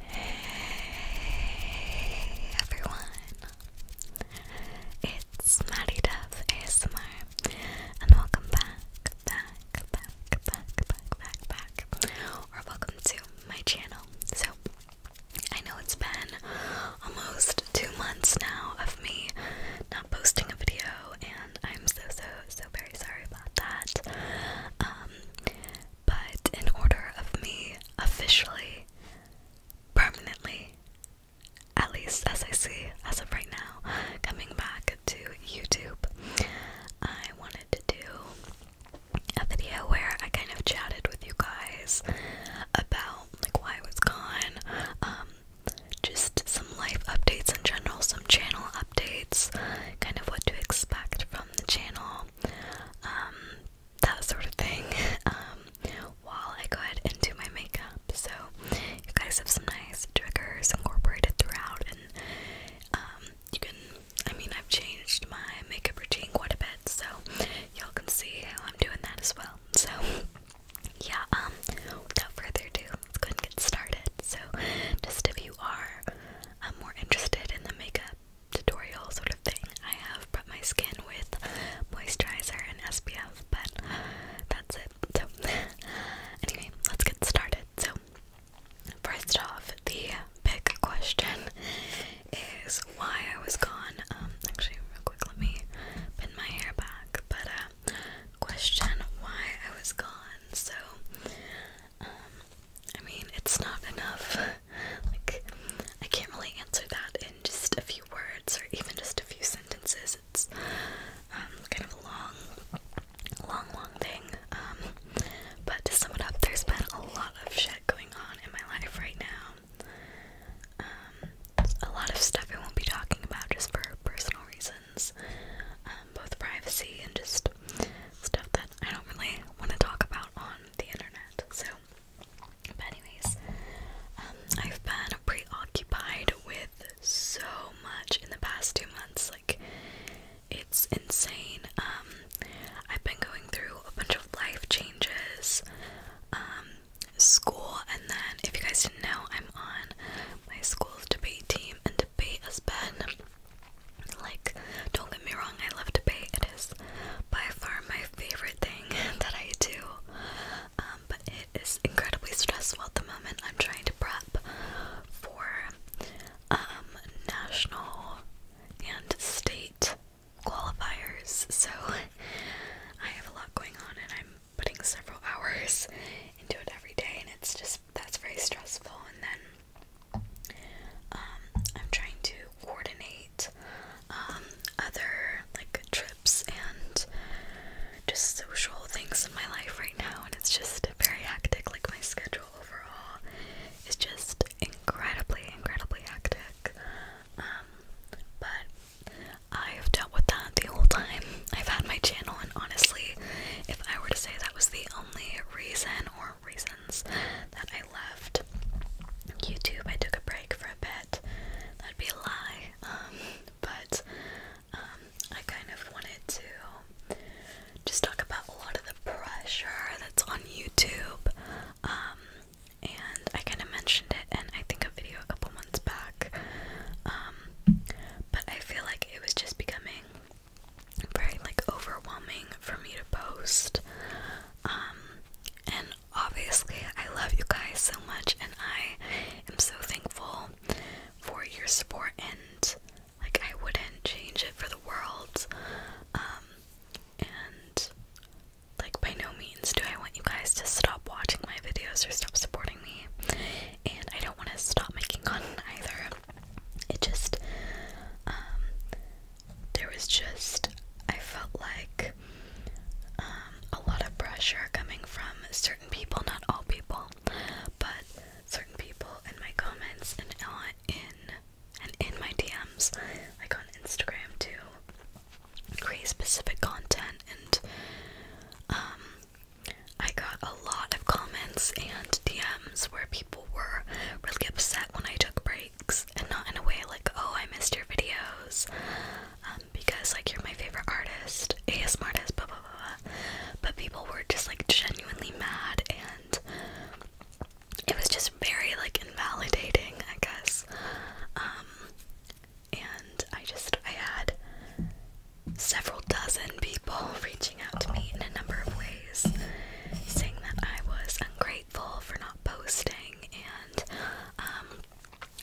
Hey everyone, it's Maddie Duff ASMR, and welcome back, back, back, back, back, back, back, or welcome to my channel. So, I know it's been almost two months now of me not posting a video, and I'm so so so very sorry about that. Um, but in order of me officially, permanently, at least as I see as of right now, coming back to YouTube, I wanted to do a video where I kind of chatted with you guys about like why I was gone, um, just some life updates in general, some channel updates, kind of what to expect from the channel, um, that sort of thing, um, while I go ahead and do my makeup. So, you guys have some nice triggers incorporated throughout, and um, you can, I mean, I've changed my makeup routine quite a bit, so y'all can see how I'm doing that as well. So, yeah, without further ado, let's go and get started. So, just if you are um, more interested in the makeup tutorial sort of thing, I have prepped my skin with moisturizer and SPF, but that's it. So, anyway, let's get started. So, first off, the big question is why I was gone. Um, actually, real quick, let me pin my hair back. But, uh, question why I was gone. So, um, I mean, it's not enough. like, I can't really answer that in just a few words or even just a few sentences. It's um, kind of a long, long, long thing. Um, but to sum it up, there's been a lot of shit going on in my life right now. a lot of stuff I won't be talking about just for personal reasons lessons, um, both privacy and just stuff that I don't really want to talk about on the internet. So, but anyways, um, I've been preoccupied with so much in the past two months. Like, it's insane. Um, I've been going through a bunch of life changes. Um, school, and then if you guys didn't know, I'm on my school's debate team, and debate has Like, don't get me wrong, I love to pay. It is by far my favorite thing that I do. Um, but it is incredibly stressful at the moment. I'm trying to prep for um, national and state qualifiers. So I have a lot going on, and I'm putting several hours into it every day, and it's just that's very stressful. And then um, I'm trying to coordinate um, other like trips and just social things in my life right now, and it's just very hectic. Like my schedule overall is just incredibly, incredibly hectic. Um, but I've dealt with that the whole time I've had my channel, and honestly, if I were to say that was the only reason or reasons that I left YouTube. I took a break for a bit. That'd be a lie. Um, but um, I kind of wanted to just talk about a lot of the pressure that's on YouTube. Um, and I kind of mentioned it and I think a video a couple months back. but I feel like it was just becoming very like overwhelming for me to post. Um, and obviously I love you guys so much and I am so thankful for your support and like I wouldn't change it for the world. Um, and like by no means do I want you guys to stop watching my videos or stop supporting me. And I don't want to stop making content either. It just, um, there was just, I felt like um, a lot of pressure coming from certain people, not all people, but certain people in my comments and on, in and in my DMs, like on Instagram, to create specific content and um, I got a lot of comments and DMs where people were really upset when I took breaks and not in a way like, oh, I missed your videos um, because like you're my favorite artist, ASM artist, blah blah blah. But people were just like genuinely mad and it was just very like invalidating, I guess. Um, and I just, I had several dozen people reaching out to me in a number of ways saying that I was ungrateful for not posting. And um,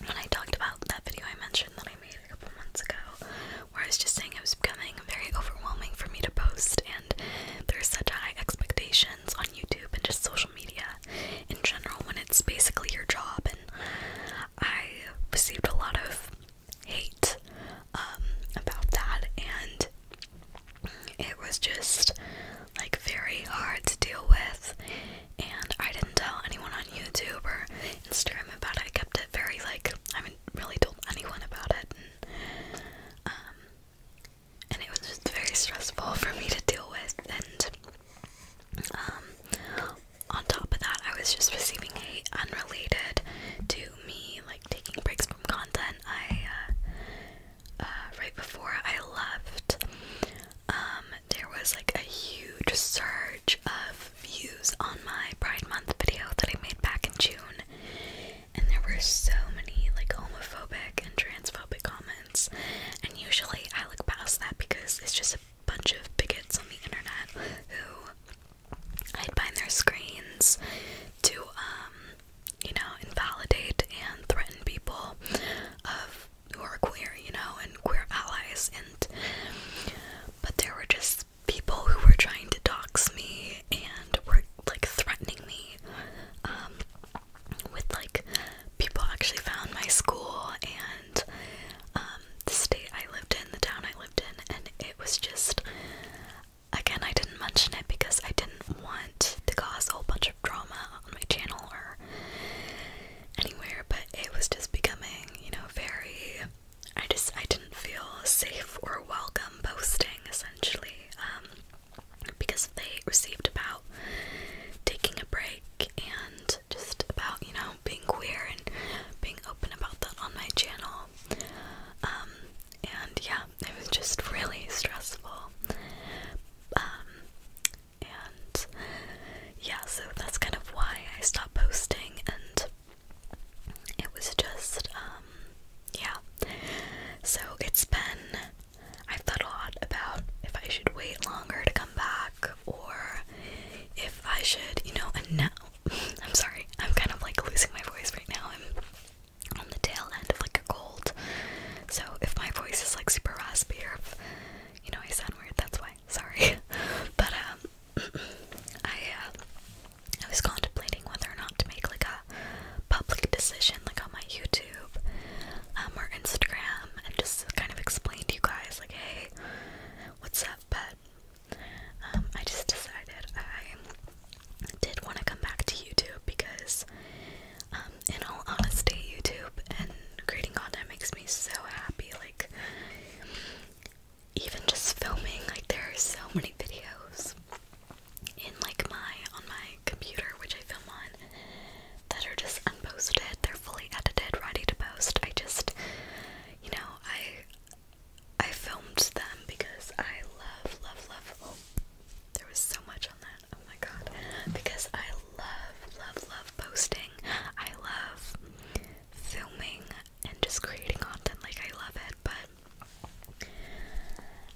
when I talked about that video, I mentioned that I made a couple months ago, where I was just saying it was becoming very overwhelming for me to post, and there's such high expectations on YouTube and just social media in general when it's basically your job. And I received a lot of hate um, about that, and it was just like very hard to deal with. And I didn't tell anyone on YouTube or Instagram about it. I kept it very like I haven't really told anyone about it. And, um, it was just very stressful for me to deal with, and um, on top of that, I was just receiving hate unrelated to me like taking breaks from content, I uh, uh, right before I left, um, there was like a huge surge of views on my Pride Month video that I made back in June, and there were so many like homophobic and transphobic comments. And usually I look past that because it's just a bunch of bigots on the internet who hide find their screens to, um, you know, invalidate and threaten people of who are queer, you know, and queer allies. And but there were just people who were trying to dox me and were like threatening me. Um, with like people actually found my school and um, the state I lived in, the town I lived in, and it was just Again, I didn't mention it because I didn't want to cause a whole bunch of drama on my channel or anywhere, but it was just becoming, you know, very. I just I didn't feel safe or welcome posting essentially um, because they received about taking a break and just about you know being queer and being open about that on my channel um, and yeah it was just really stressful. Um, and yeah, so that's kind of why I stopped posting, and it was just, um, yeah. So it's been, I've thought a lot about if I should wait longer to come back or if I should, you know, and now, I'm sorry, I'm kind of like losing my voice right now. I'm on the tail end of like a cold. So if my voice is like super raspy or you know I sound weird, that's why. Sorry. but um I uh, I was contemplating whether or not to make like a public decision like on my YouTube um or Instagram and just kind of explain to you guys like hey what's up but um, I just decided I did want to come back to YouTube because, um, in all honesty, YouTube and creating content makes me so happy. Like, even just filming, like, there are so many videos in like my on my computer, which I film on, that are just unposted. They're fully edited, ready to post. I just, you know, I I filmed them because I love, love, love. Oh, there was so much on that. Oh my god. Because I love, love, love posting. I love filming and just creating content. Like, I love it, but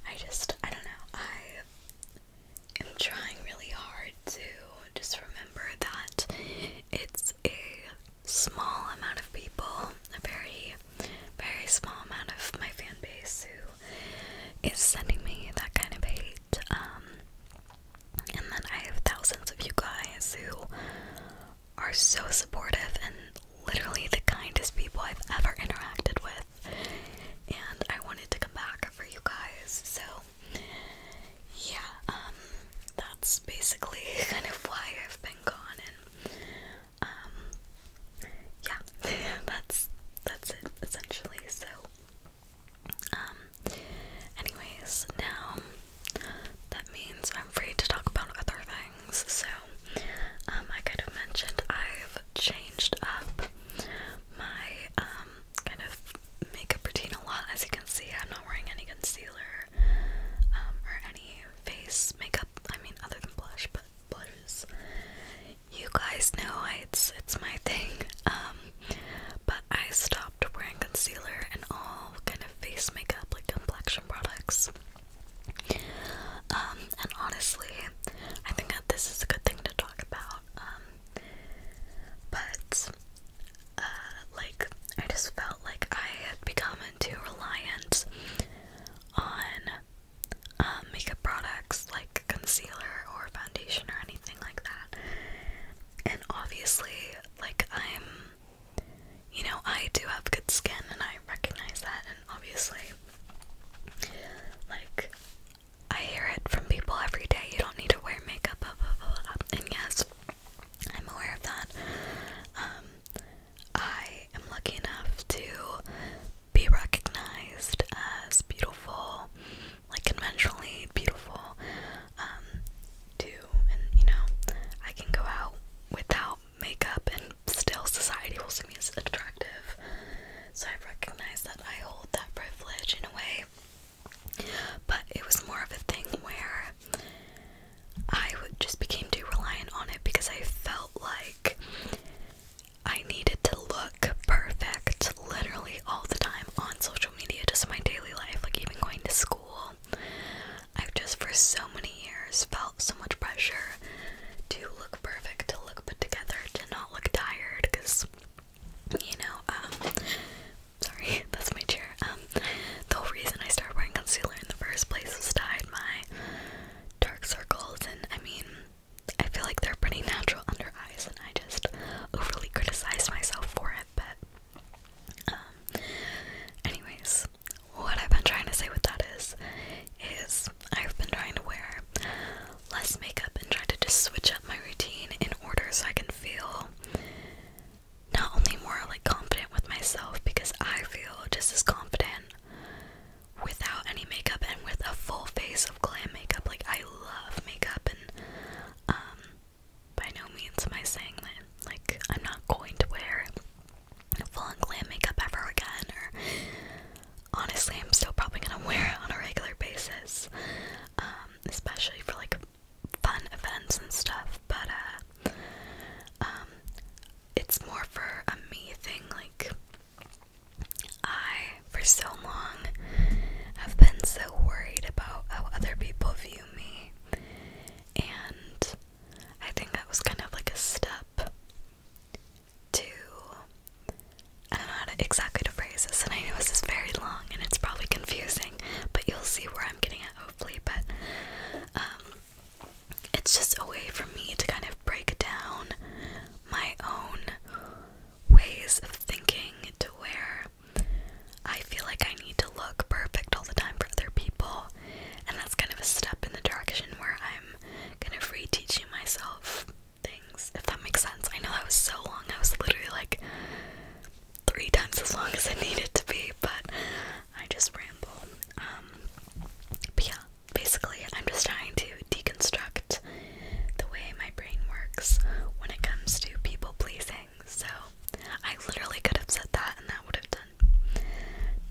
I just, I don't know. I am trying really hard to just remember that it's a small amount of people, a very very small amount of my fan base who is sending me that kind of hate. Um, and then I have thousands of you guys who are so supportive and literally the kindest people I've ever interacted with. And I wanted to come back for you guys, so yeah, um, that's basically kind of why I've been gone um, yeah, that's that's it essentially. So, um, anyways, now that means I'm free to talk about other things. So, um, I kind of mentioned I've changed up my um kind of makeup routine a lot. As you can see, I'm not wearing any concealer um, or any face makeup. I mean, other than blush, but bottles. You guys know it's it's my thing. Um, but I stopped wearing concealer and all kind of face makeup, like complexion products. Um, and honestly, I think that this is a good thing to talk about. Um, but uh, like I just felt like I had become too reliant on um, makeup products like concealer or foundation or anything like that. And obviously, like, I'm, you know, I do have good skin and I recognize that, and obviously, like, I hear it from people every day you don't need to wear makeup, and yes, I'm aware of that. Um, I am lucky enough to be recognized as beautiful, like conventionally beautiful, um, And you know, I can go out without makeup and still society will see me as attractive. So I've that I hold that privilege in a way. But it was more of a thing where I just became too reliant on it because I felt like like I needed to look perfect literally all the time on social media, just in my daily life, like even going to school. I've just for so many years felt so much pressure to look perfect, to look put together, to not look tired, because you know, um, sorry, that's my chair. Um, the whole reason I started wearing concealer in the first place was to hide my dark circles, and I mean, I feel like they're pretty natural under eyes, and I just overly criticize myself for it. But, um, anyways, what I've been trying to say with that is, is I've been trying to wear less makeup and try to just switch up my routine in order so I can feel not only more like confident with myself because I feel just as confident without any makeup and with a full face of glam makeup. Like I love makeup and um by no means am I saying that like I'm not going to wear full on glam makeup ever again or honestly I'm still probably gonna wear it on a regular basis. Um, especially for like fun events and stuff. But uh um it's more for a me thing. Like, I, for so long, have been so worried about how other people view me. And I think that was kind of like a step to. I don't know how to exactly to phrase this, and I know this is very long and it's probably confusing, but you'll see where I'm getting at hopefully. But um, it's just a way for me to kind of break down my own ways of thinking to where I feel like I need to look perfect all the time for other people, and that's kind of a step in the direction where I'm kind of teaching myself things, if that makes sense. I know that was so long, I was literally like three times as long as I needed to be, but I just ramble. Um, but yeah, basically, I'm just trying to deconstruct the way my brain works when it comes to people pleasing. So, I literally could have said that, and that would have done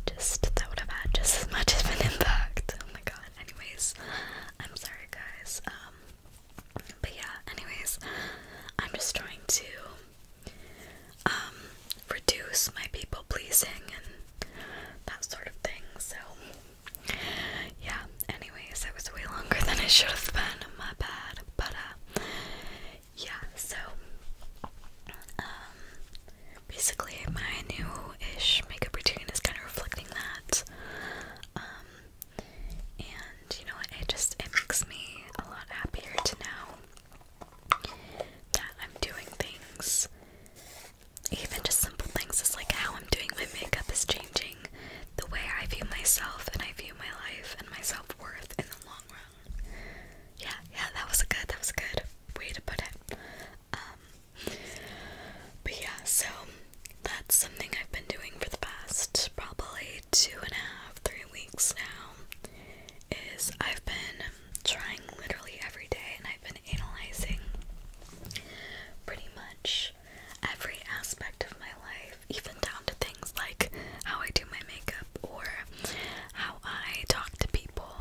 just that would have had just as much of an impact. Oh my god. Anyways, I'm sorry, guys. Um, but yeah. Anyways, I'm just trying to um, reduce my people pleasing and that sort of thing. So, yeah, anyways, it was way longer than it should have been. My bad. But, uh, yeah, so, um, basically, my new ish makeup routine is kind of reflecting that. Um, and you know what? It just it makes me a lot happier to know that I'm doing things even just simple things is like how I'm doing my makeup is changing the way I view myself and I view my life and my self worth in the long run. Yeah, yeah, that was a good, that was a good way to put it. Um, but yeah, so that's something I've been doing for the past probably two and a half, three weeks now. Is I've been trying literally every day and I've been analyzing pretty much every aspect of my life, even down to things like how I do my makeup or how I talk to people,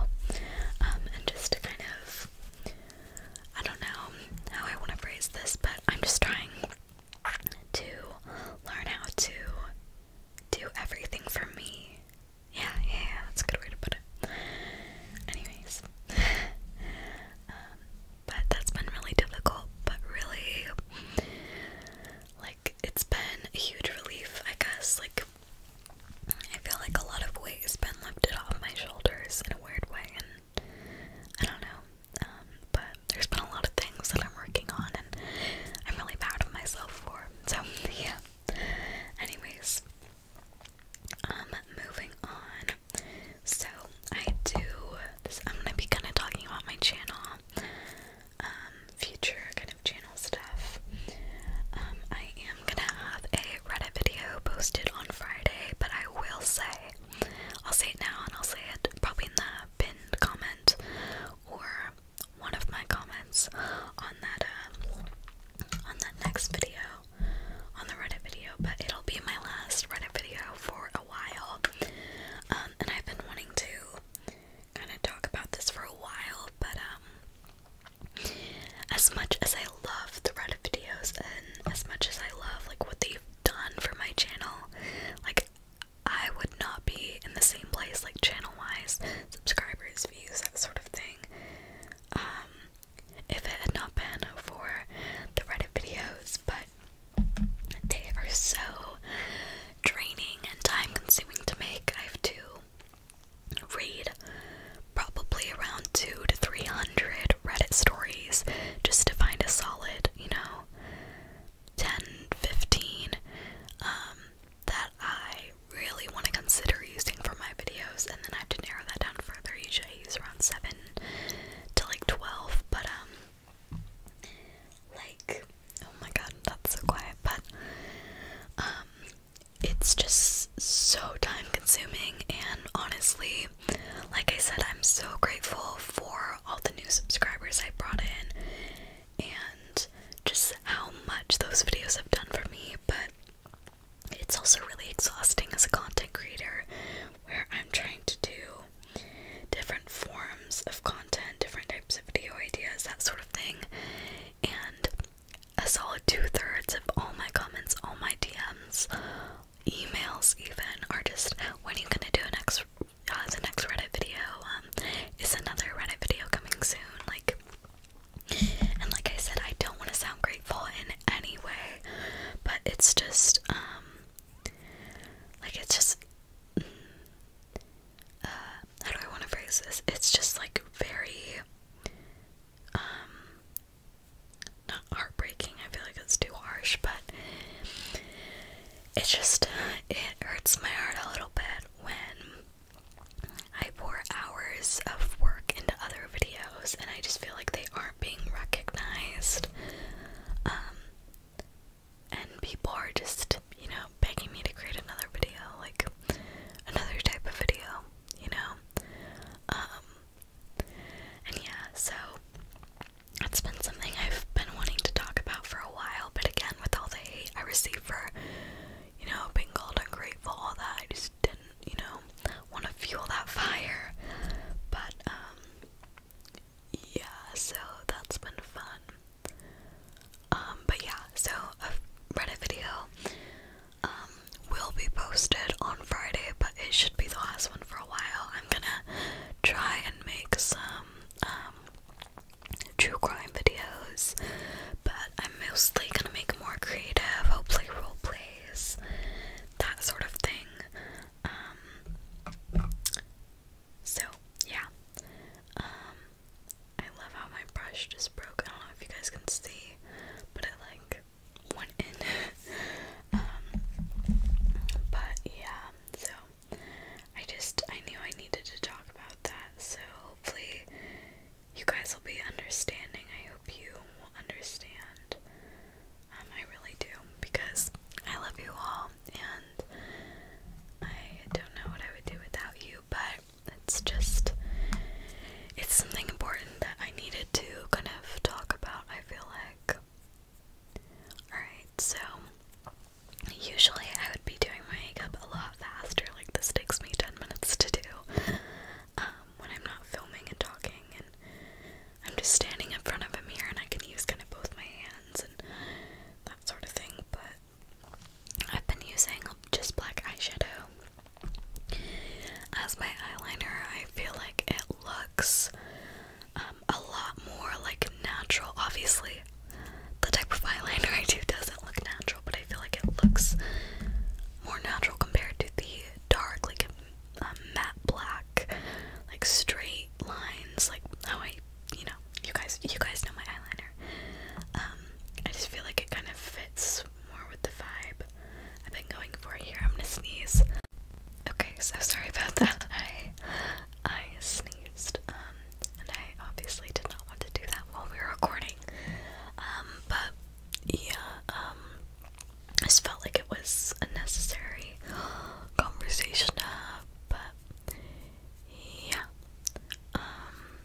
um, and just to kind of, I don't know how I want to phrase this, but I'm just trying to learn how to do everything for me yeah, yeah, that's a good way to put it. Anyways, um, but that's been really difficult, but really, like, it's been a huge relief, I guess. Like, I feel like a lot of weight has been lifted off my shoulders in a weird way, and I don't know, um, but there's been a lot of things that I'm working on, and I'm really proud of myself for. So, yeah. Anyways, um, moving on. So I do. I'm gonna be kind of talking about my channel, um, future kind of channel stuff. Um, I am gonna have a Reddit video posted on Friday, but I will say, I'll say it now, and I'll say it probably in the pinned comment or one of my comments on that uh, on that next video on the Reddit video, but it'll be my last Reddit video for a while. Um, and I've been wanting to kind of talk about this for a while, but um, as much as I love the Reddit videos and as much as I love like what they've done for my channel, like I would not be in the same place like channel wise, subscribers, views, that sort of thing. Um, if it had not been for the Reddit videos, but they are so draining and time consuming to make. I have to read probably around two to three hundred Reddit stories just to find a solid, you know, 10, 15 um, that I really want to consider using for my videos, and then I have to narrow that down further. Usually it's around 7 to like 12, but um, like, oh my god, that's so quiet, but um, it's just so time consuming, and honestly, like I said, I'm so grateful for all the new subscribers I brought in and just how much those videos have done for me, but it's also really exhausting as a content creator where I'm trying to do different forms of content, different types of video ideas, that sort of thing. And a solid two thirds of all my comments, all my DMs, emails, even, are just when are you gonna do next, uh, the next Reddit video? Um, is another Reddit video coming soon? Like, and like I said, I don't want to sound grateful in any way, but it's just, um, like it's just, uh, how do I want to phrase this? It's just like very, um, not heartbreaking. I feel like it's too harsh, but it just, uh, it hurts my heart a little bit when I pour hours of work into other videos and I just feel like they aren't being recognized. Um, and people are just, you know, begging me to create another video, like another type of video, you know? Um, and yeah, so it's been something I've been wanting to talk about for a while, but again, with all the hate I received for, you know, being called ungrateful, all that, I just didn't you know, want to fuel that fire. But, um, yeah, so that's been fun. Um, but yeah, so Reddit video, um, will be posted on Friday, but it should be the last one for a while. I'm gonna try and make some, true crime videos, but I'm mostly gonna make more creative, hopefully role plays, that sort of thing. Um, so yeah, um, I love how my brush just broke. I don't know if you guys can see, but it like went in. Um, but yeah, so I just I knew I needed to talk about that. So hopefully you guys will be understanding. I hope you will understand. Um, I really do because I love you all, and I don't know what I would do without you, but it's just it's something important that I needed to kind of talk about, I feel like. Alright, so usually I would be doing my makeup a lot faster, like this takes me 10 minutes to do. Um, when I'm not filming and talking, and I'm just standing in front of a mirror and I can use kind of both my hands and that sort of thing. But I've been using just black eyeshadow as my eyeliner. I feel like it looks um, a lot more like natural. Obviously, the type of eyeliner I do doesn't look natural but I feel like it looks more natural compared to the dark, like a um, matte black, like straight lines, like how I, you know, you guys, you guys know my eyeliner. Um, I just feel like it kind of fits more with the vibe I've been going for here. I'm gonna sneeze. Okay, so sorry about that. I I sneezed, um, and I obviously did not want to do that while we were recording. Um, but yeah, um, I just felt like it was unnecessary conversation to have, but yeah. Um,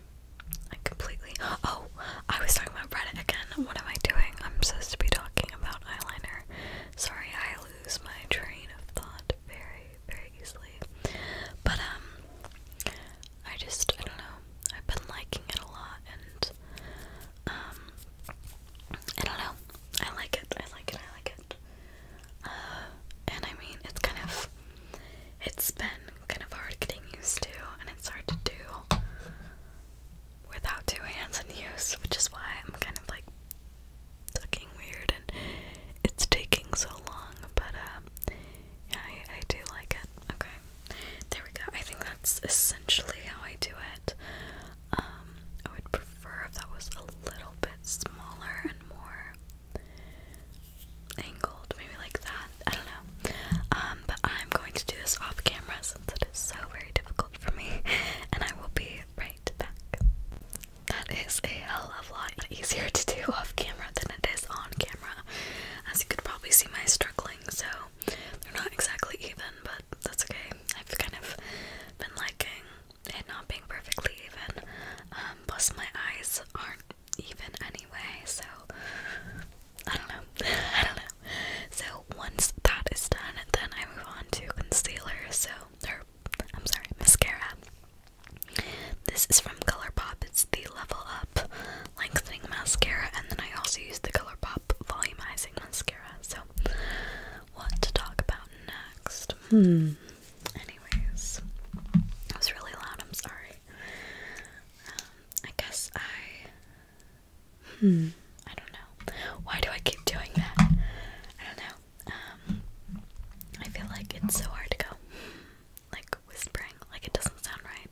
I completely. Oh, I was talking about Reddit again. What am I doing? I'm supposed to be talking about eyeliner. Sorry, I lose my train of thought very, very easily. But um, I just I don't know. I've been liking it a lot and um I don't know. I like it. I like it. I like it. Uh and I mean it's kind of it's been kind of hard getting used to and it's hard to do without two hands in use, which is why I'm kind of like looking weird and it's taking so long, but uh yeah, I, I do like it. Okay there we go. I think that's essentially how I do it. Um, I would prefer if that was a little bit smaller and more angled, maybe like that. I don't know. Um, but I'm going to do this off camera since it is so very difficult for me, and I will be right back. That is a hell of a lot easier to do off camera than it is on camera. As you could probably see, my struggling, so they're not exactly even, but that's okay. I've kind of been liking it not being perfectly even. Um, plus, my eyes aren't even anyway, so I don't know. I don't know. So, once that is done, then I move on to concealer. So, or I'm sorry, mascara. This is from ColourPop. It's the Level Up lengthening mascara, and then I also use the ColourPop volumizing mascara. So, what to talk about next? Hmm. Anyways, that was really loud. I'm sorry. Um, I guess I. Hmm. I don't know. Why do I keep doing that? I don't know. Um, I feel like it's so hard to go like whispering. Like it doesn't sound right.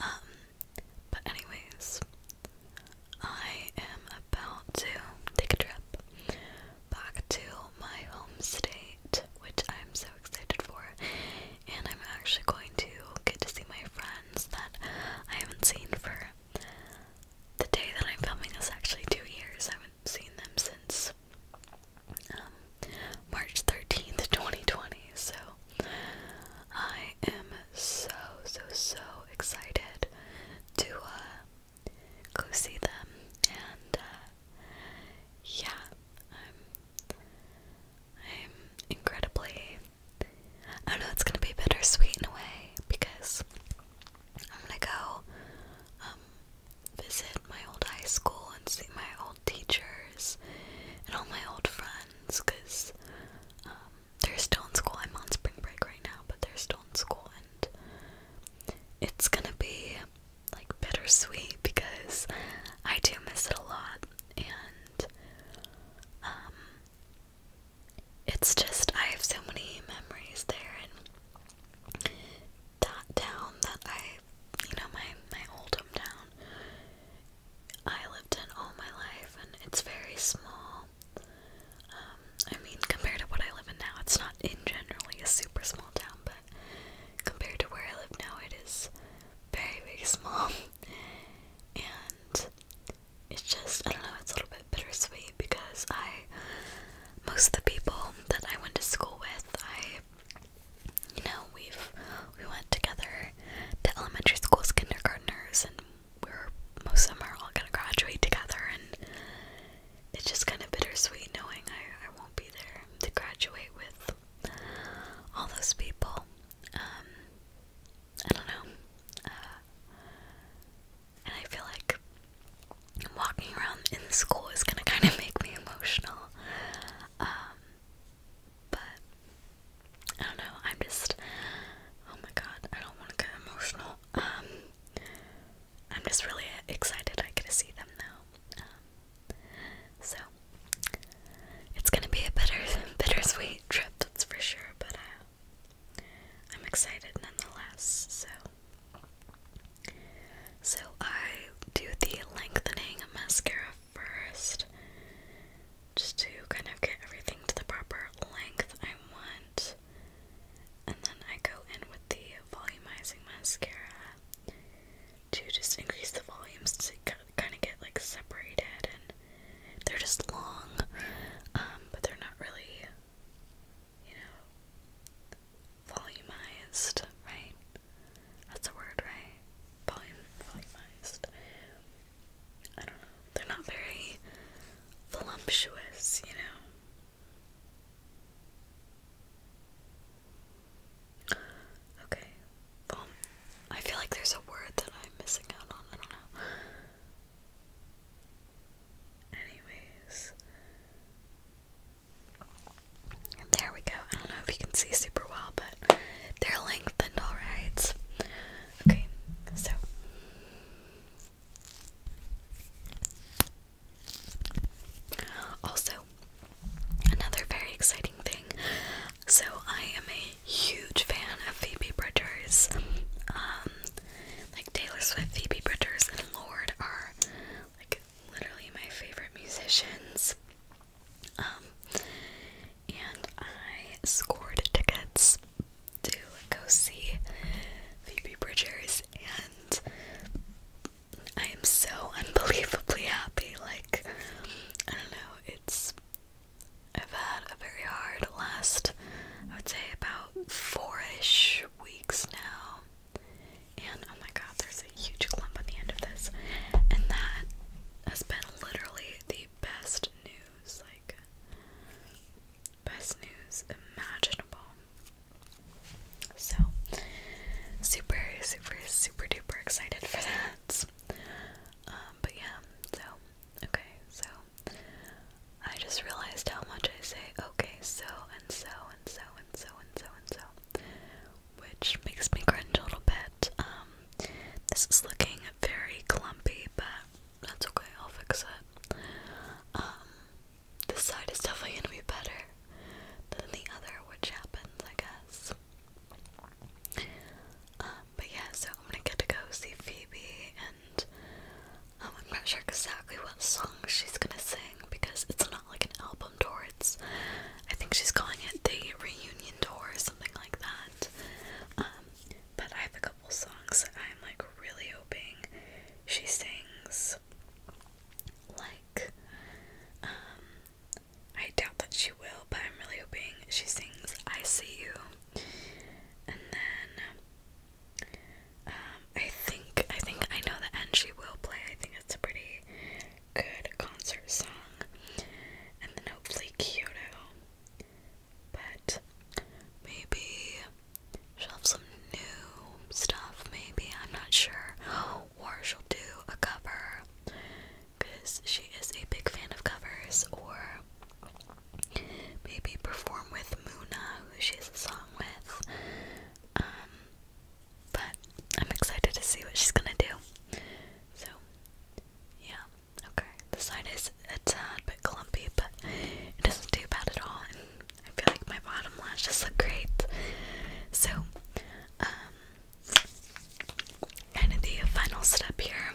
Um, but anyways, I am about to take a trip back to my home state, which I'm so excited for. And I'm actually going to get to see my friends that I haven't seen for the day that I'm filming Is actually two years. I haven't seen them since um, March 13th, 2020. So I am so so so excited to uh, go see them, and uh, yeah, I'm I'm incredibly. I know it's gonna be bittersweet in a way because I'm gonna go um, visit my old high school and see my old teachers and all my old friends because um, they're still in school. I'm on spring break right now, but they're still in school, and it's gonna be like bittersweet because I do miss it a lot, and um, it's just I have so many memories there, and that town that I, you know, my my old hometown I lived in all my life, and it's very small. Um, I mean, compared to what I live in now, it's not in generally a super small town, but compared to where I live now, it is very, very small. and it's just, I don't know, it's a little bit bittersweet because I, most of the people that I went to school with, I, you know, we've we went together to elementary school's kindergartners, and we were most of them are all gonna graduate together, and it's just kind of bittersweet knowing I, I won't be there to graduate with all those people. Um, I don't know. Uh, and I feel like walking around in the school is gonna kind of make me emotional. Um, but I don't know, I'm just oh my god, I don't want to get emotional. Um I'm just really excited I get to see them now. Um so it's gonna be a bitter bittersweet trip, that's for sure, but uh, I'm excited nonetheless, so so I do the lengthening mascara first just to kind of get everything to the proper length I want. And then I go in with the volumizing mascara to just increase the volumes to kind of get like separated and they're just long, um, but they're not really, you know, volumized, right? That's a word, right? Volume, volumized. I don't know, they're not very voluptuous, you know? Okay, well, I feel like there's a word that I'm missing out on, I don't know. Anyways, there we go. I don't know if you can see super well, but they're lengthened, alright? Okay, so also another very exciting thing. So I am a huge fan of Phoebe Bridgers. Um, like Taylor Swift, Phoebe Bridgers, and Lord are like literally my favorite musicians. Um, and I scored tickets to go see Phoebe Bridgers, and I am so unbelievably happy. Like, I don't know, it's. I've had a very hard last, I would say, about four ish weeks now. And oh my god, there's a huge clump on the end of this. And that has been literally the best news news, like best news imaginable. So super, super, super duper excited for that. Um, but yeah, so okay, so I just realized how much I say okay, so and so and so and so and so and so, which makes me cringe a little bit. Um, this is looking very clumpy, but that's okay, I'll fix it. Um, this side is definitely gonna be better than the other, which happens, I guess. Um, but yeah, so I'm gonna get to go see Phoebe, and um, I'm not sure exactly what song she's gonna sing because it's not like an album tour, it's I think she's calling it the reunion tour or something like that. But I have a couple songs that I'm like really hoping she sings. Like, um, I doubt that she will, but I'm really hoping she sings I See You. And then, um, I think, I think I know the end she will play. I think it's a pretty good concert song. And then hopefully Kyoto. But maybe she'll have some new stuff, maybe, I'm not sure. Or she'll do a cover because she is a big fan of covers, or maybe perform with Muna, who she has a song with. Um, but I'm excited to see what she's gonna do. So, yeah, Okay, the side is a tad bit clumpy, but it doesn't do bad at all, and I feel like my bottom lashes look great. So, um, and of the final step here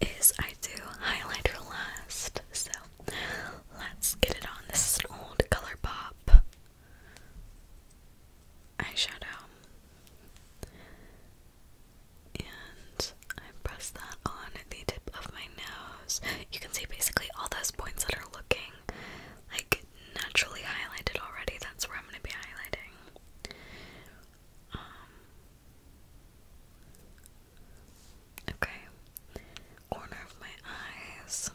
is I do highlighter last. So, let's get it on. This is an old ColourPop eyeshadow. And I press that on the tip of my nose. You can see basically all those points that are looking like naturally highlighted already. That's where I'm going to be highlighting. Um, okay, corner of my eyes.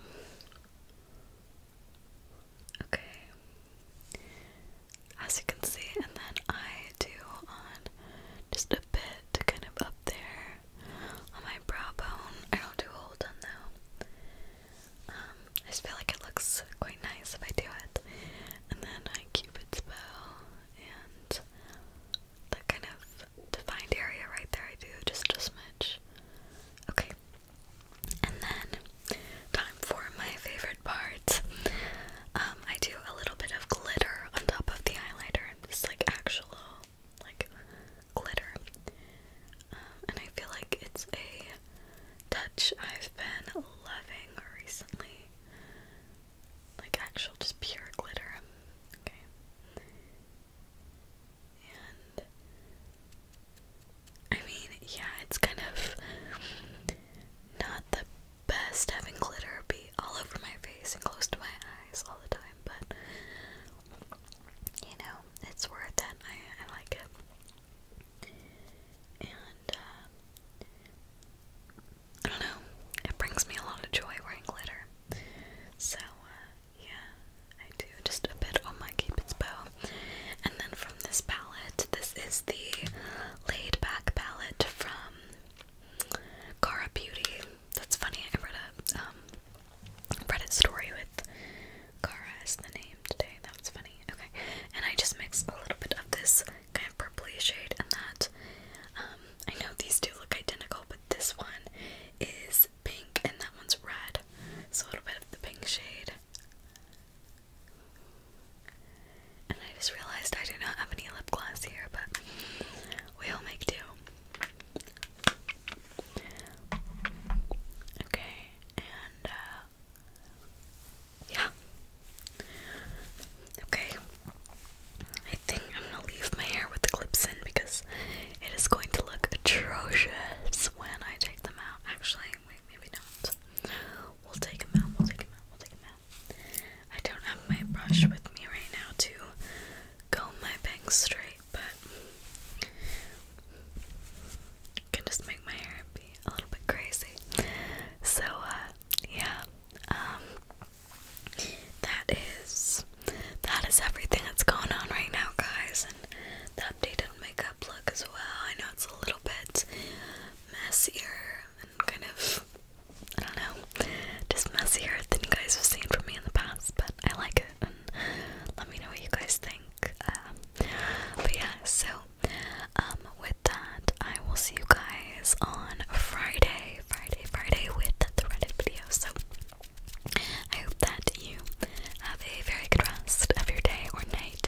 Okay, as you can see, and then I do on just a bit kind of up there on my brow bone. I don't do a whole ton though. Um, I just feel like it looks quite nice if I do it. And then I cupid's bow and that kind of defined area right there I do just a much. Okay. And then Time for my favorite part. Um, I do a little bit of glitter on top of the highlighter. It's like actual, like, glitter. Um, and I feel like it's a touch I've been loving recently. Like actual, just pure glitter. Okay. And I mean, yeah, it's kind of not the best having glitter be all over my face and close to my eyes all the time, but you know, it's worth it. and I like it. And, uh, I don't know, it brings me a lot of joy wearing glitter. So, uh, yeah, I do just a bit on my Cupid's bow. And then from this palette, this is the laid back palette from Cara Beauty. That's funny. I read a um, Reddit story with Cara as the name today. That was funny. Okay, and I just mixed a little bit of this kind of purpley shade and that. Um, I know these two look identical, but this one is pink and that one's red. So a little bit of the pink shade and I just realized I do not have any lip gloss here, but we'll make do. Okay, and uh, yeah. Okay. I think I'm gonna leave my hair with the clips in because it is going to look atrocious when I take them out. Actually, wait, maybe not. We'll take them out, we'll take them out, we'll take them I don't have my brush with me right now to comb my bangs straight, but can just make my hair be a little bit crazy. So, uh, yeah, um, that is that is everything that's going on right now, guys, and the updated makeup look as well. I know it's a little bit messier kind of, I don't know, just messier than you guys have seen from me in the past, but I like it, let me know what you guys think. Um, but yeah, so, um, with that, I will see you guys on Friday, Friday, Friday with the Reddit video, so I hope that you have a very good rest of your day or night